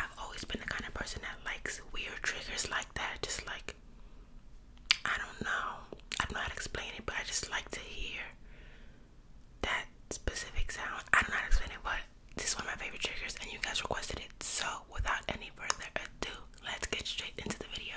I've always been the kind of person that likes weird triggers like that. Just like, I don't know. I am not explaining, it, but I just like to hear that specific sound. I don't know how to explain it, but this is one of my favorite triggers, and you guys requested it. So, without any further ado, let's get straight into the video.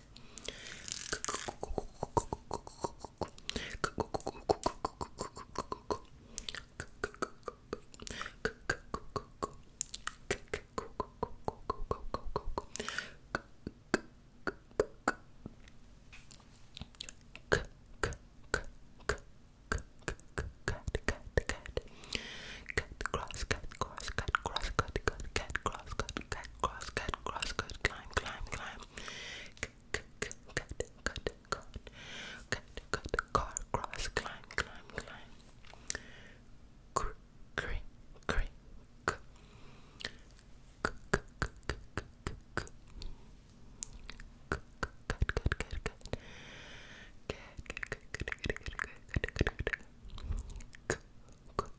Cut, cross, cut, cross, cut, cross, cut, cut, cut, cross, cut, cut, cross cut, cross cut, climb, climb, climb. Cut, cut, cut, cut, cut, cut, cut, car, cross, climb, climb, climb. Cr, cr, cr, cr. Cut, cut, cut, cut, cut, cut. Cut, cut, cut, cut, cut, cut, cut, cut, cut, cut.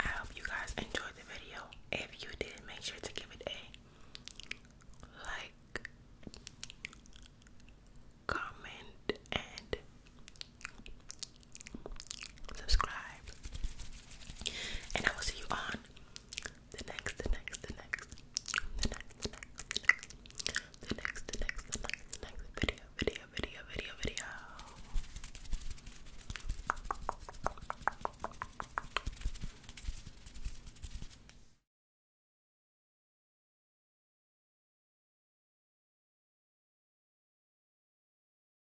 I hope you guys enjoyed the video. If you did, make sure to give it a like, comment, and subscribe, and I will see you on the next, the next, the next, the next, the next, the next, the next, video, video, video, video, video.